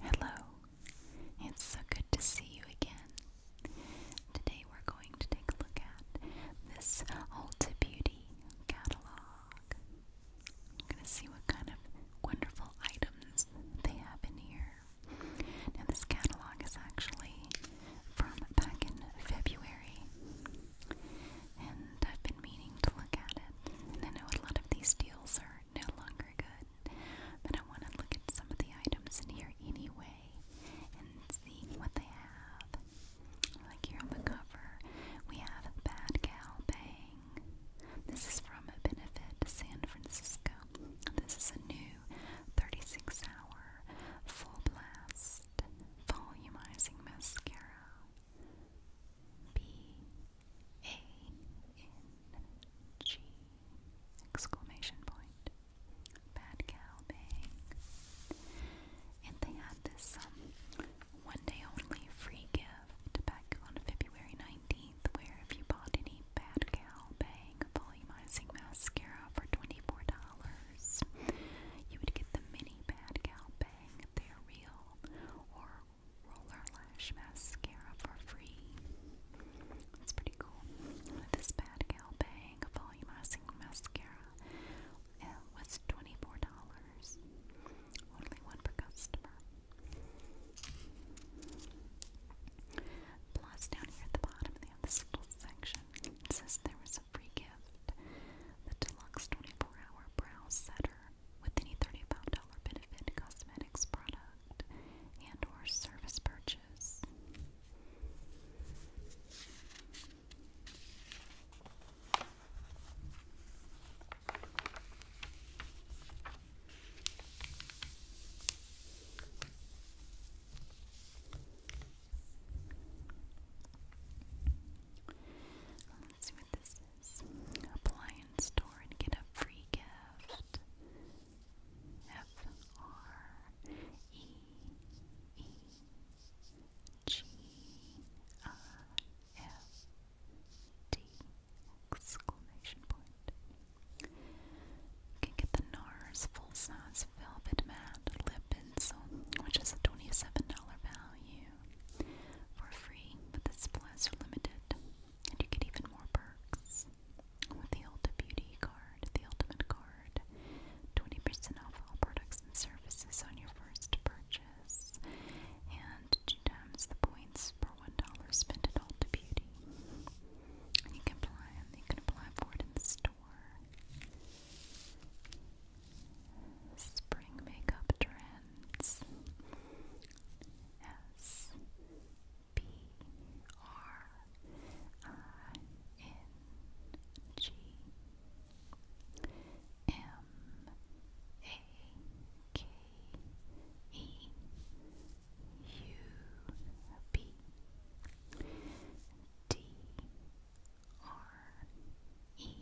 Hello, it's so good to see you again. Today we're going to take a look at this Ulta Beauty catalog. I'm going to see what kind of wonderful items they have in here. Now, this catalog is actually from back in February, and I've been meaning to look at it. I know a lot of these deals are no longer good, but I want to look at some of the items in here anyway and see what they have. Like here on the cover, we have a Bad Gal Bang. This is from a benefit San Francisco. This is a new 36 hour full blast volumizing mascara. B A N G exclamation point. Bad bang. And they had this um, one day only free gift back on February 19th where if you bought any Bad Bang volumizing mascara for $24, you would get the mini Bad Bang they're real or Roller Lash Mascara for free. That's pretty cool. This Bad Gal Bang Volumizing Mascara uh, was $24. Only one per customer. Plus, down here at the bottom, they have this little section. It says there was a free gift the Deluxe 24 Hour Brow Setter with any $35 benefit cosmetics product and or service purchase appliance store and get a free gift. F R E E G I F D exclamation point. You can get the NARS full size velvet matte lip which is a $27 value for free, but the supplies are limited, and you get even more perks with the Ulta Beauty card, the Ultimate card, 20% off all products and services on your first purchase, and two times the points for $1 spent at Ulta Beauty. And you can apply, you can apply for it in the store. Spring makeup trends. S P R I N G M A K E U B D R E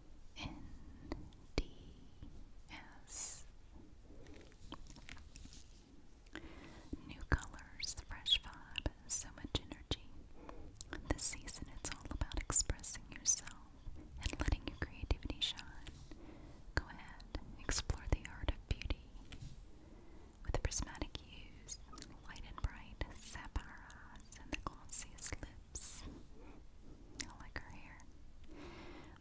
NDS. New colors, fresh vibe, so much energy. This season it's all about expressing yourself and letting your creativity shine. Go ahead, explore the art of beauty. With prismatic hues, light and bright, sapphire eyes, and the glossiest lips. I like her hair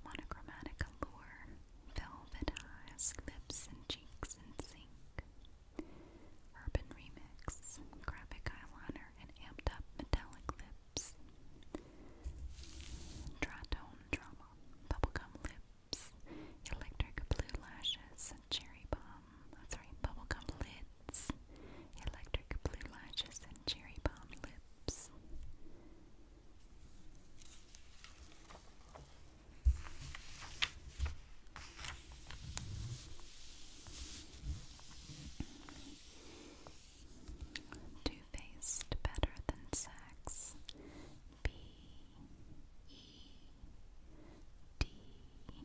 monochromatic allure, velvet eyes, lips and cheeks in sync. Urban remix, graphic eyeliner, and amped up metallic lips. Dratone drama, bubblegum lips, electric blue lashes, cherry bomb, uh, sorry, bubblegum lids, electric blue lashes, and cherry bomb lips. Two faced better than sex. B E D D E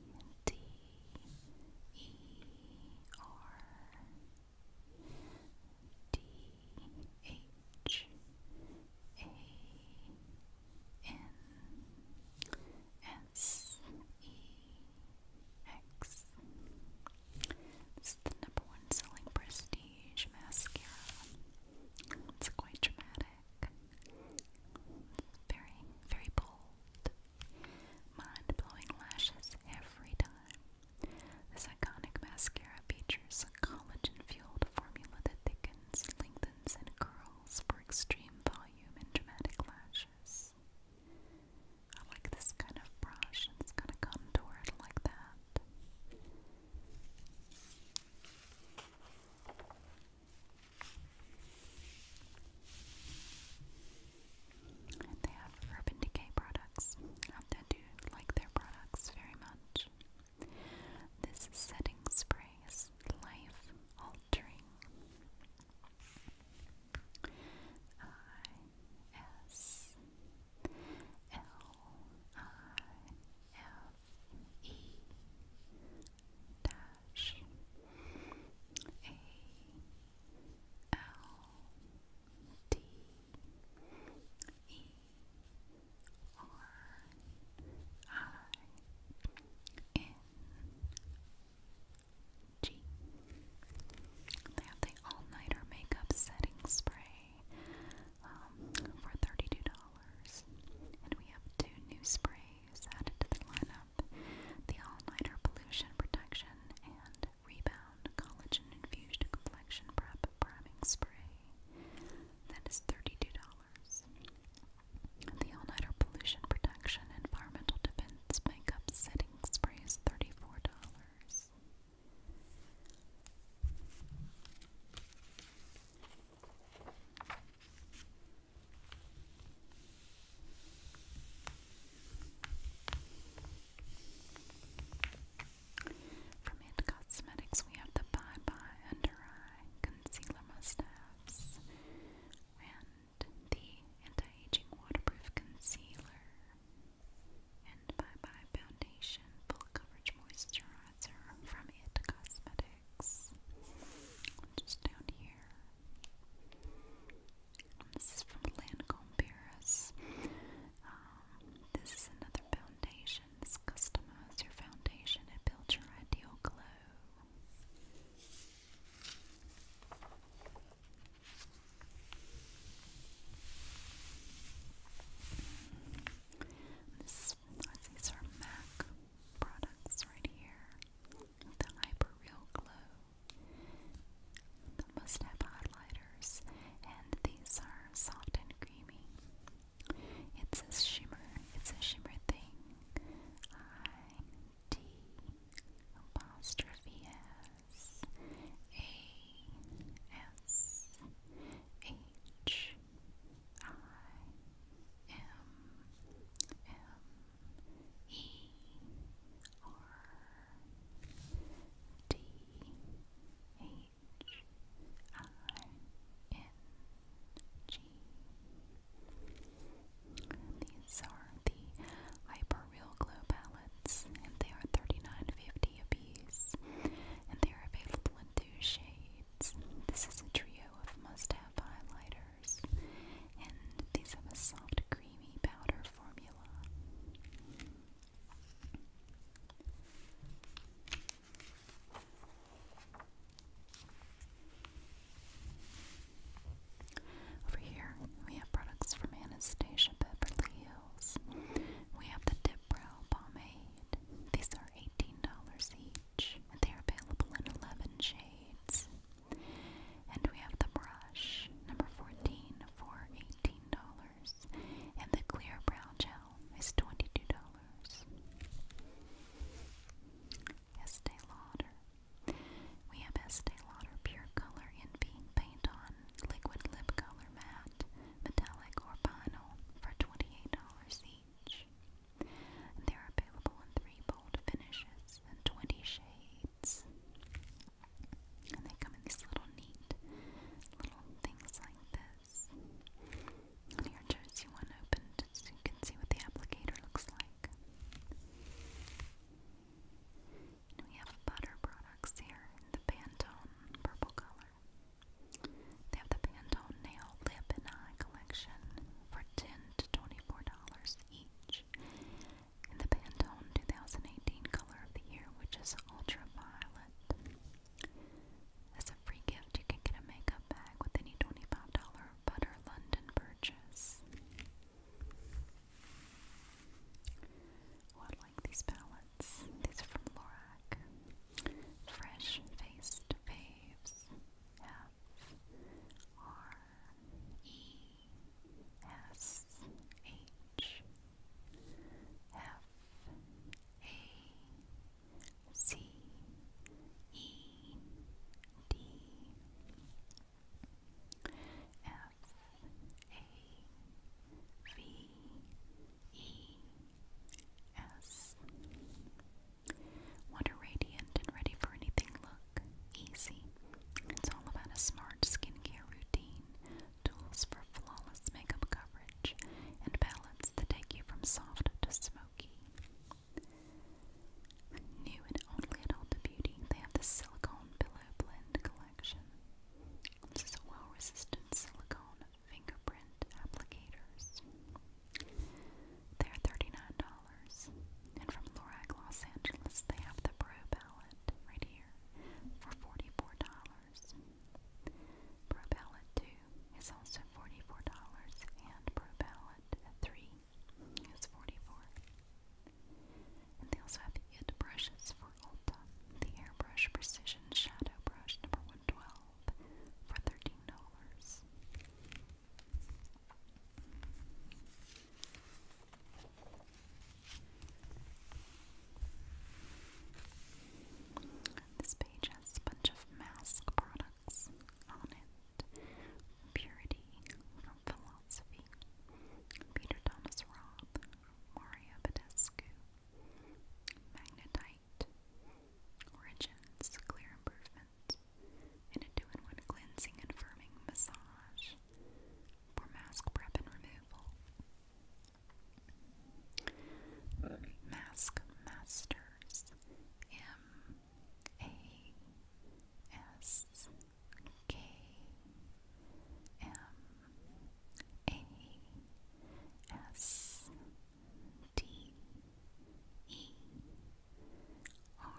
R D H A N S E X. This is the number one selling prestige mascara. It's quite dramatic. Very, very bold. Mind blowing lashes every time. This iconic mascara features a collagen-fueled formula that thickens, lengthens, and curls for extreme volume and dramatic lashes. I like this kind of brush, it's kind of contoured like that. And they have Urban Decay products. I um, do like their products very much. This setting spray is life altering. I S L I F E dash A L D E R I N G. They have the All Nighter Makeup Setting Spray um, for $32. And we have two new sprays added to the lineup the All Nighter Pollution Protection and Rebound Collagen Infused Complexion Prep Priming Spray. That is $32. The All Nighter Pollution Protection Environmental Defense Makeup Setting Spray is $34. From It Cosmetics, we have the Bye Bye Under Eye Concealer Must and the Anti Aging Waterproof Concealer and Bye Bye Foundation Full Coverage Moisturizer from It Cosmetics. Just down here. This is from Lancome Paris. Um, this is another foundation. This customize your foundation and build your ideal glow. This, these are MAC products right here. The Hyper Real Glow must have highlighters, and these are soft and creamy. It's a shimmer, it's a shimmer thing. I D apostrophe S A S H I M M E R D H I N G. These are the Hyperreal Glow palettes, and they are thirty nine fifty dollars and they are available in two shades. This is a trio of must-have highlighters, and these have a soft, creamy powder formula. Over here, we have products from Anastasia Beverly Hills. We have the Dip Pomade. These are $18 each, and they are available in 11 shades. And we have the brush, number 14, for $18 and the clear brown gel is $22. Estee Lauder. We have Estee Lauder Pure Color Envy Paint On Liquid Lip Color Matte, Metallic or Vinyl for $28 each. They're available in three bold finishes and 20 shades. And they come in these little neat little things like this. And here, Jersey one opened so you can see what the applicator looks like. we have butter products here in the Pantone purple color. They have the Pantone Nail Lip and Eye collection for 10 to $24 each. And the Pantone 2018 color which is ultraviolet. As a free gift, you can get a makeup bag with any $25 Butter London purchase. Oh, I like these palettes. These are from Lorac. Fresh Faced Faves. F R E S H F A C E D F A V E S What a radiant and ready for anything look. Easy. It's all about a smart skincare routine tools for flawless makeup coverage, and palettes that take you from soft to smoky. New and only at Ulta Beauty, they have the Silicone Pillow Blend Collection. This is a well-resistant silicone fingerprint applicators. They're $39. And from Lorac Los Angeles, they have the Pro Palette right here for $44. Pro Palette 2 is also $44 and Pro Palette 3 is $44. And they also have it brushes for Ulta. The Airbrush Precision Shadow Brush number 112 for $13. This page has a bunch of mask products on it. Purity from Philosophy, Peter Thomas Roth, Mario Magnetite, Origins, Clear Improvement, and a two-in-one cleansing and firming massage for mask prep and removal. Mask Masters M A S K M A S D E R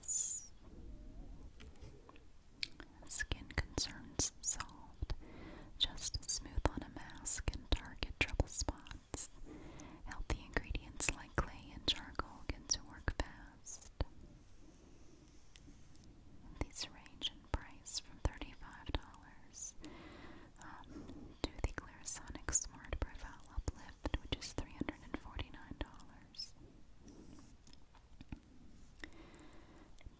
S Skin concerns solved. Just smooth on a mask and target trouble spots. Healthy ingredients like clay and charcoal get to work fast. These range in price from $35 um, to the Clarisonic Smart Profile Uplift, which is $349.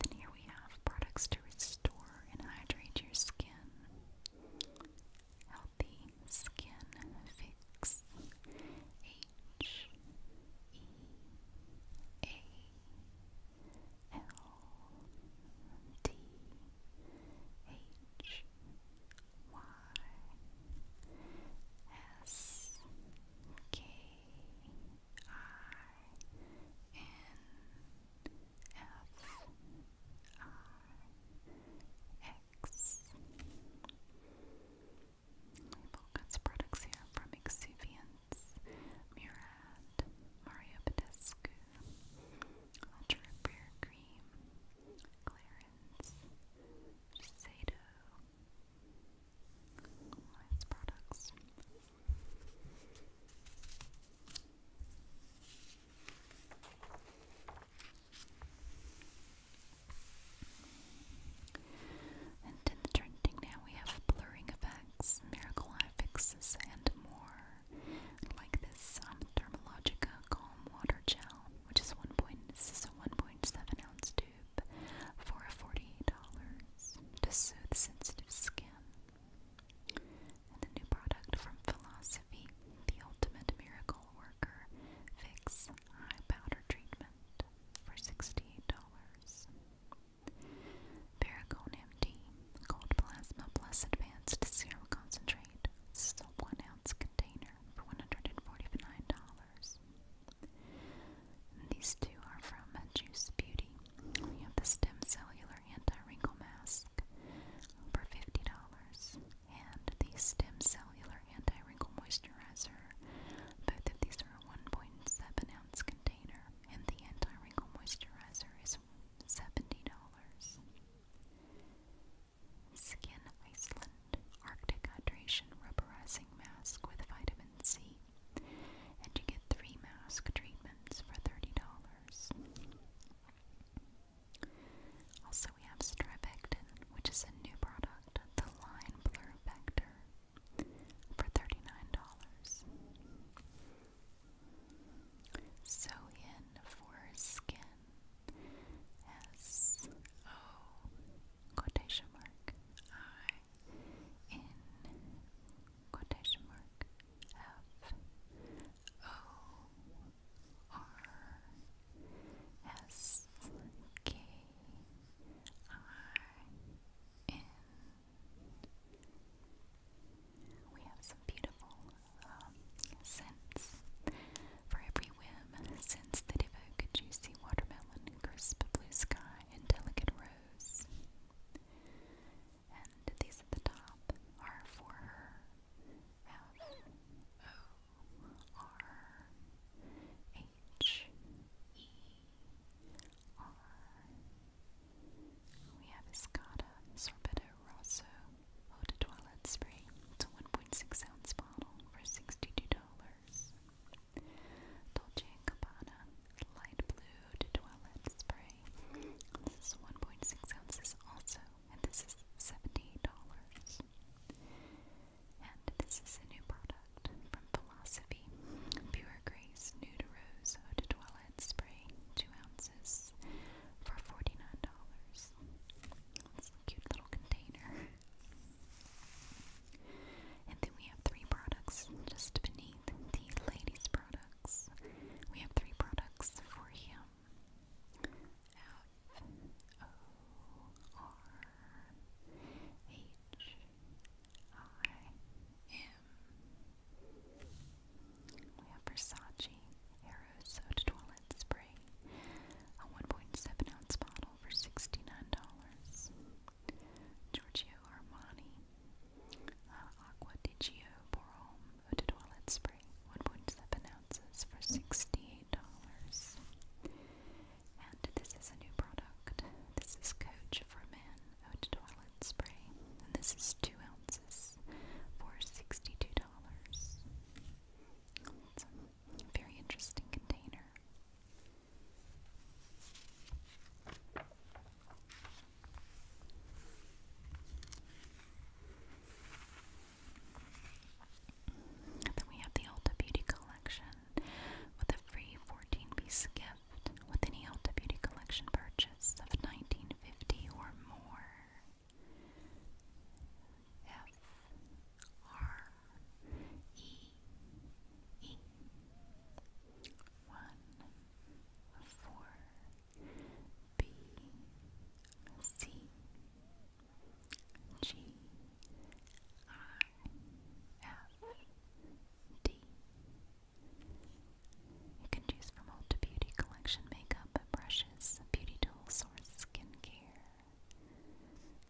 Then here we have products to restore and hydrate your skin. Healthy Skin Fix. H E A L D H Y S K X. Label goods products here from Exuviance, Murad, Mario Badescu, Ultra Beer Cream, Clarence, Sado, Lawrence the trending now we have blurring effects, miracle eye fixes, and more. Like this um, Calm Water Gel, which is one point. This is a 1.7 ounce tube for $48 to soothe sensitive skin. And a new product from Philosophy, the Ultimate Miracle Worker Fix Eye Powder Treatment for $68. Paracone MD, Cold Plasma Plus Advanced Serum Concentrate. This is a one ounce container for $149. These two are from Juice Beauty. We have the Stem Cellular Anti-Wrinkle Mask for $50 and the Stem Cellular Anti-Wrinkle Moisturizer. Both of these are a 1.7 ounce container and the Anti-Wrinkle Moisturizer is $70. Skin Iceland Arctic Hydration Rubberizing Mask with Vitamin C and you get three mask treatments for $30. Also, we have Stripectin, which is a new product, the Line Blur Vector, for $39. So in for skin S O quotation mark I in quotation mark F O R S K I N. We have some beautiful um, scents. For every whim, scents that evoke juicy watermelon, crisp blue sky, and delicate rose. And these at the top are for her. F O R H E R. We have Escada Sorbetto Rosso Eau de Spray. It's a 1.6 ounce bottle for $62. Dolce & Gabbana Light Blue to Spray. This is 1.6 ounces also, and this is $70. And this is a new product from Philosophy. Pure Grace Nude Rose Eau de Toilette Spray, 2 ounces for $49. It's a cute little container. And then we have three products just beneath d ladies products. We have three products for him. F O R H I M. We have Versace Aero Toilet Spray, a 1.7 ounce bottle for $69. Giorgio Armani, uh, Aqua di Gio Borome Eau Toilet Spray, 1.7 ounces for $68. And this is a new product. This is Coach for Men Eau Toilet Spray, and this is 2 ounces for $62. very interesting container. Then we have the Ulta Beauty Collection with a free 14 piece gift with any Ulta Beauty Collection purchase of nineteen fifty or more. F R E E one, four, B, C, G, I, F, D. You can choose from Ulta Beauty Collection makeup, brushes, beauty tools, or skincare.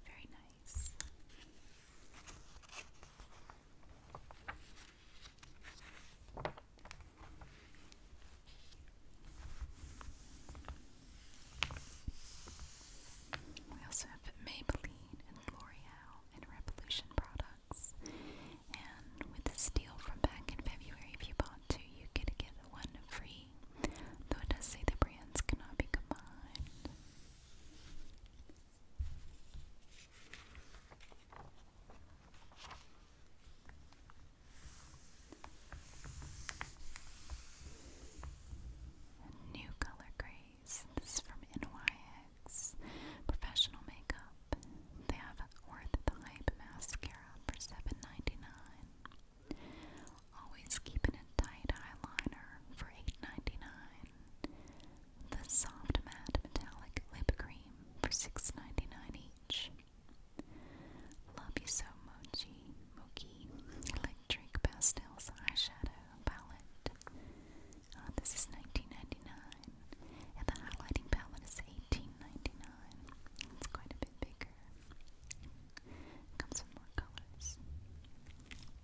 Very nice. We also have Maybelline and L'Oreal and Revolution products. And with this deal from back in February, if you bought two, you get get one free. Though it does say the brands cannot be combined. A new color grays. This is from NYX Professional Makeup. They have Worth mascara for 7 Always keeping a tight eyeliner for 8 the Soft Matte Metallic Lip Cream for $6.99 each. Love You So Mochi Mochi Electric Pastels Eyeshadow Palette. Uh, this is 19 and the highlighting palette is 18 It's quite a bit bigger. Comes with more colors.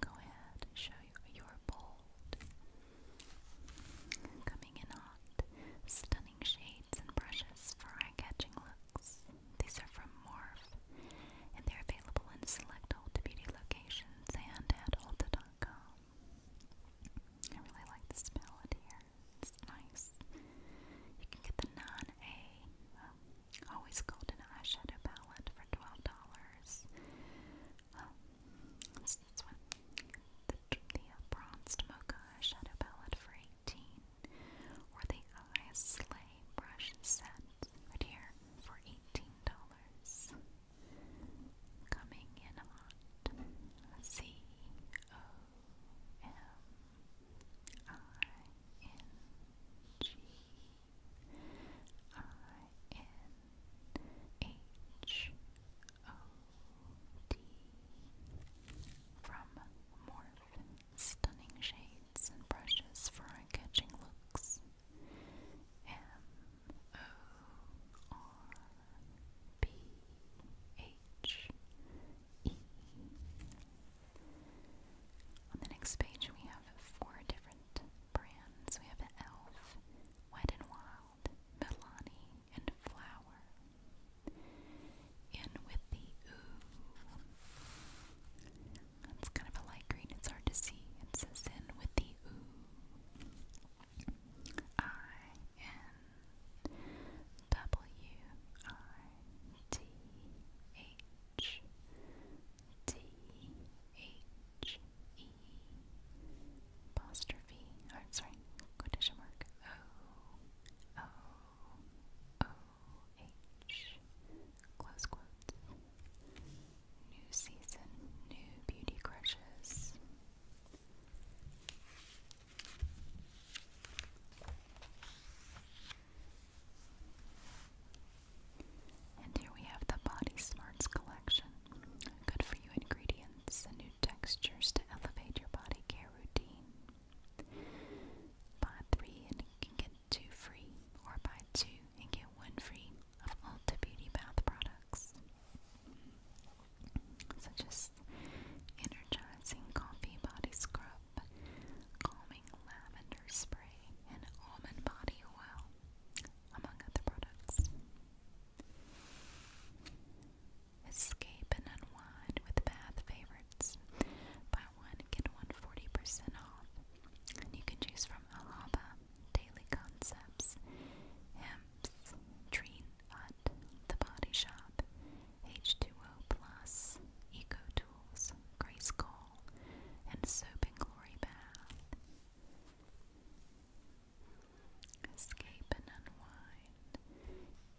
go ahead and show your bold. Coming in hot, stunning shades and brushes for eye-catching looks. These are from Morph, and they're available in select Ulta Beauty locations and at Ulta.com. I really like the smell here. It's nice. You can get the non-A, um, Always called an eyeshadow palette for twelve dollars. Um, this, this one, the, the uh, bronzed mocha eyeshadow palette for eighteen, or the eye sleigh brush set right here for eighteen dollars. Coming in hot. C O M I N G I N H O D from Morph Stunning Shades and Brushes for Eye Catching Looks. M O R B H E. On the next page, we have four different brands. We have e.l.f., Wet n Wild, Milani, and Flower. In with the Ooh. It's kind of a light green. It's hard to see. It says in with the Ooh. I N W I T H T H E apostrophe. Oh, sorry. Quotation mark. O O O H. Close quotes. New season. New beauty crushes. And here we have the Body Smarts collection. Good for you ingredients and new textures to elevate your body care routine. Buy three and get two free, or buy two and get one free of Ulta Beauty Bath products. Such as energizing coffee body scrub, calming lavender spray, and almond body oil among other products. Escape and unwind with bath favorites. Buy one, get one percent off. And you can choose from Alaba, Daily Concepts, Hemp's, Treen The Body Shop, H2O Plus, Eco Tools, Grace Cole, and Soap and Glory Bath. Escape and Unwind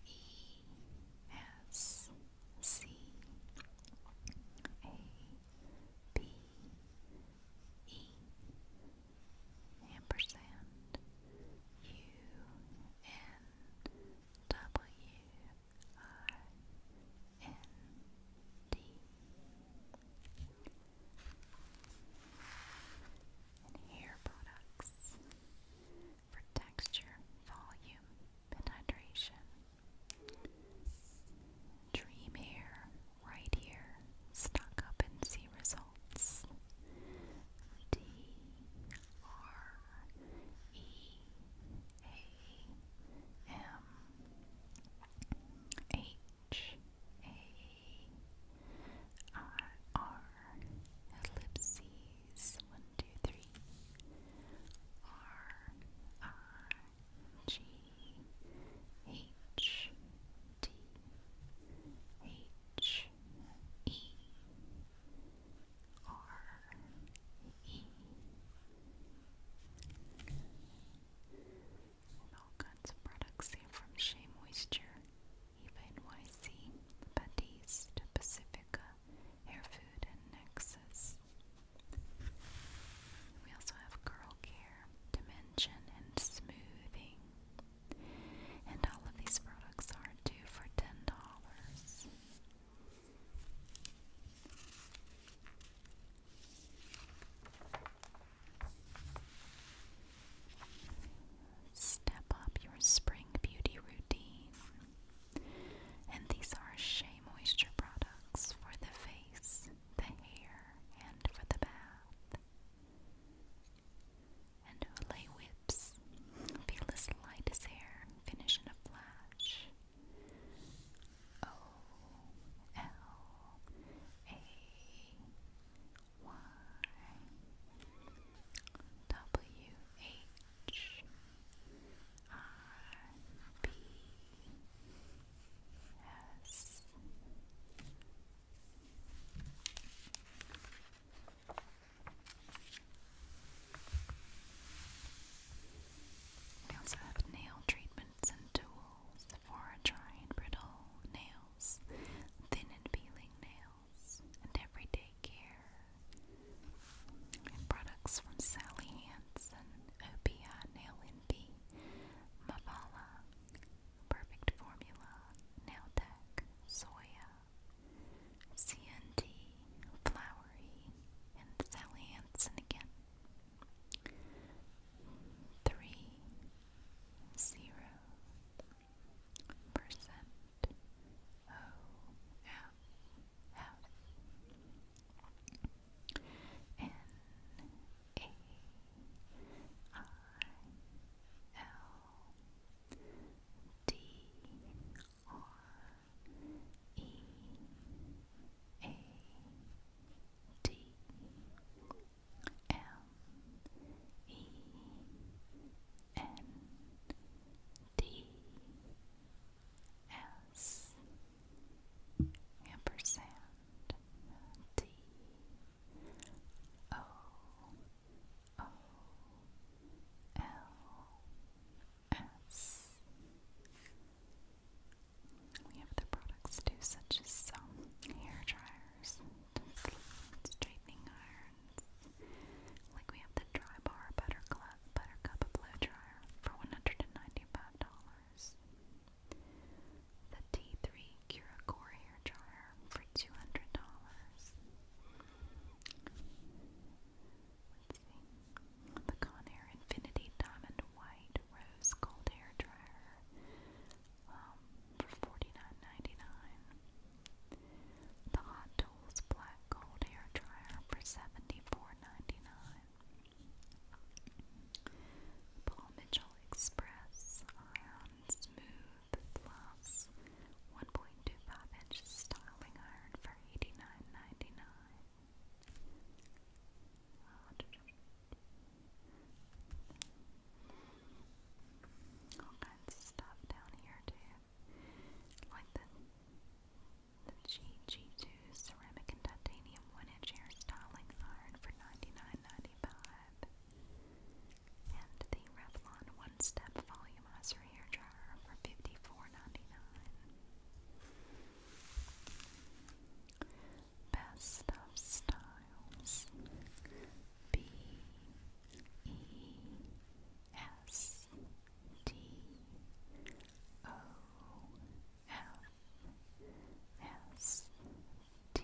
E S C A B E ampersand U N W I N D. And hair products for texture, volume, and hydration. Dream hair, right here, stock up and see results. D R E A M H H A R R ellipses one two three R I G H D H E R E and all kinds of products here from Shea Moisture, Eva NYC, Batiste, Pacifica, Hair Food, and Nexus. We also have Curl Care, Dimension, and Smoothing. And all of these products are due for $10. Step up your spring beauty routine. And these are Shea Moisture products for the face, the hair, and for the bath. And Olay Whips. Feel as light as air, finish in a flash. O L A Y W H R B S we also have nail treatments and tools bristles for dry and brittle nails, thin and peeling nails, and everyday care. And products from Sally Hansen, OPI Nail NP, Mavala, Perfect Formula, Nailtech, Soya, CNT, Flowery, and Sally Hansen again three zero percent O F F N A I L D R E A D L E N D S ampersand D O O L S we have other products too, such as um, hair dryers, straightening irons. Like we have the Dry Buttercup, Buttercup Blow Dryer for $195. The T3 Curacore Hair Dryer for $200. Let's see. The Conair Infinity Diamond white rose gold hair dryer um, for $49.99. The Hot Tools black gold hair dryer for $74.99. Paul Mitchell Express Iron Smooth Plus 1.25 inch styling iron for $89.99. Uh, all kinds of stuff down here too. Like the the GG2 ceramic and titanium one inch hair styling iron for 99 And the Revlon One Step Volumizer Hair Dryer for 54 Best of Styles B E S D O F S D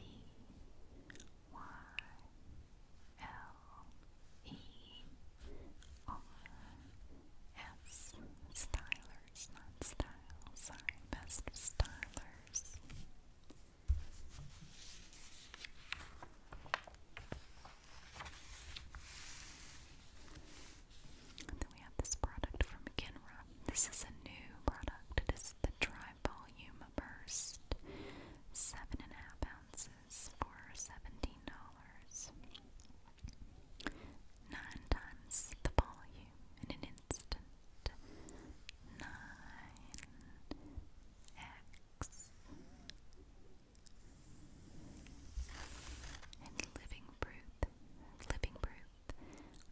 Y L E R S Stylers, not style, sorry, best of stylers then we have this product from Kenra. This is a new product. It is the Dry Volume Burst. Seven and a half ounces for seventeen dollars. Nine times the volume, constant nine x and living proof, living proof,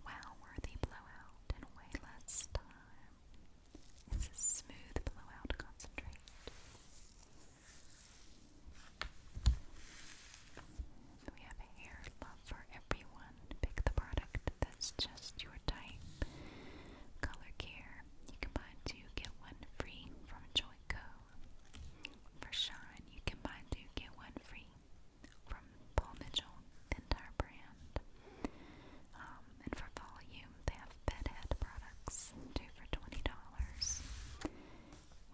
wow worthy blowout in way less time. It's a smooth blowout concentrate. We have hair love for everyone. Pick the product that's just your type. Color care. You can two, get one free from Joyco. For Shine, you can two, get one free from Paul Mitchell, the brand. Um, and for volume, they have bedhead products, two for $20.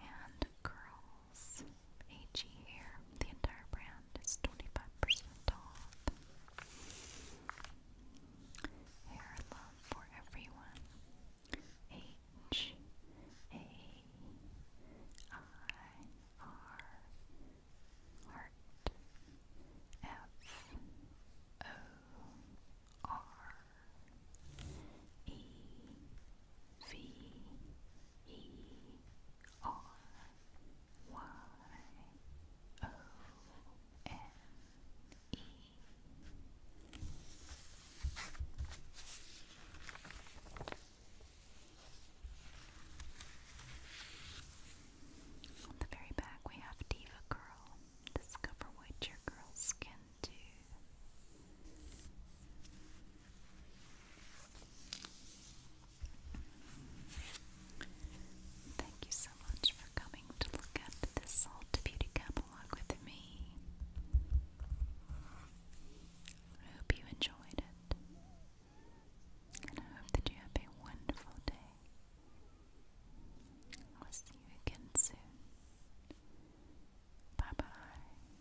And curls. HE hair. The entire brand is 25% off. Hair love for everyone. H A I R R Y O N E. On the very back, we have Diva Girl. Discover what your girl's can do. Thank you so much for coming to look at this old beauty catalog with me. I hope you enjoyed it. And I hope that you have a wonderful day. I'll see you again soon. Bye bye.